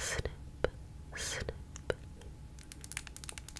Snip, snip,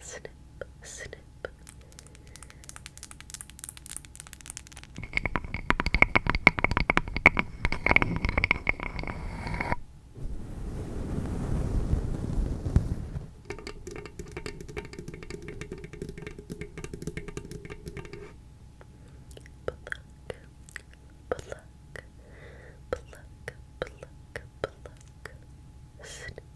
snip, snip. Pluck, pluck, pluck, pluck, snip,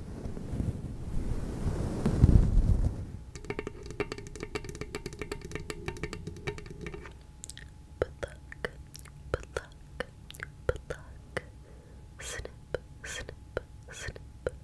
Pluck, pluck, pluck. Snip, snip, snip, snip. Pluck,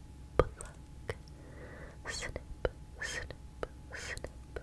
pluck, snip, snip, snip. Pluck,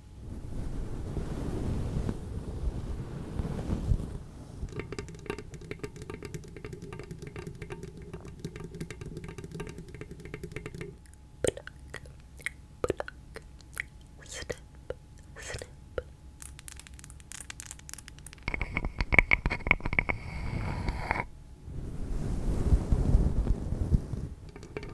Pluck, pluck, snip, snip. Pluck,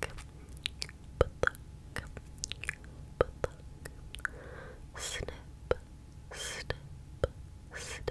pluck, pluck, snip, snip, snip. Snip,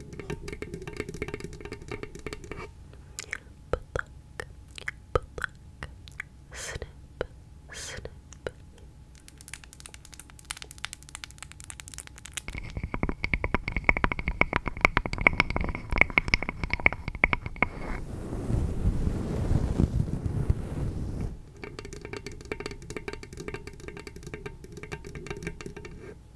Pluck, pluck, snip, snip. Pluck, pluck,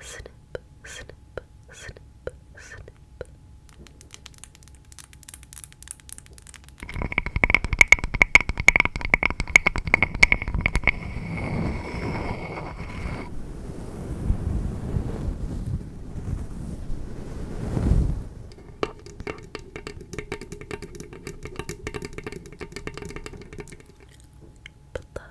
snip, snip, snip, snip. Pluck,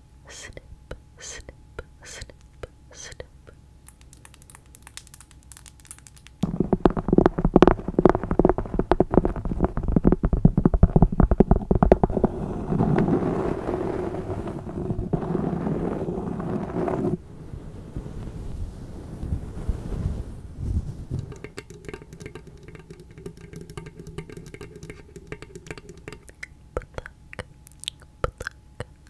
snip, snip, snip, snip. Pluck, pluck,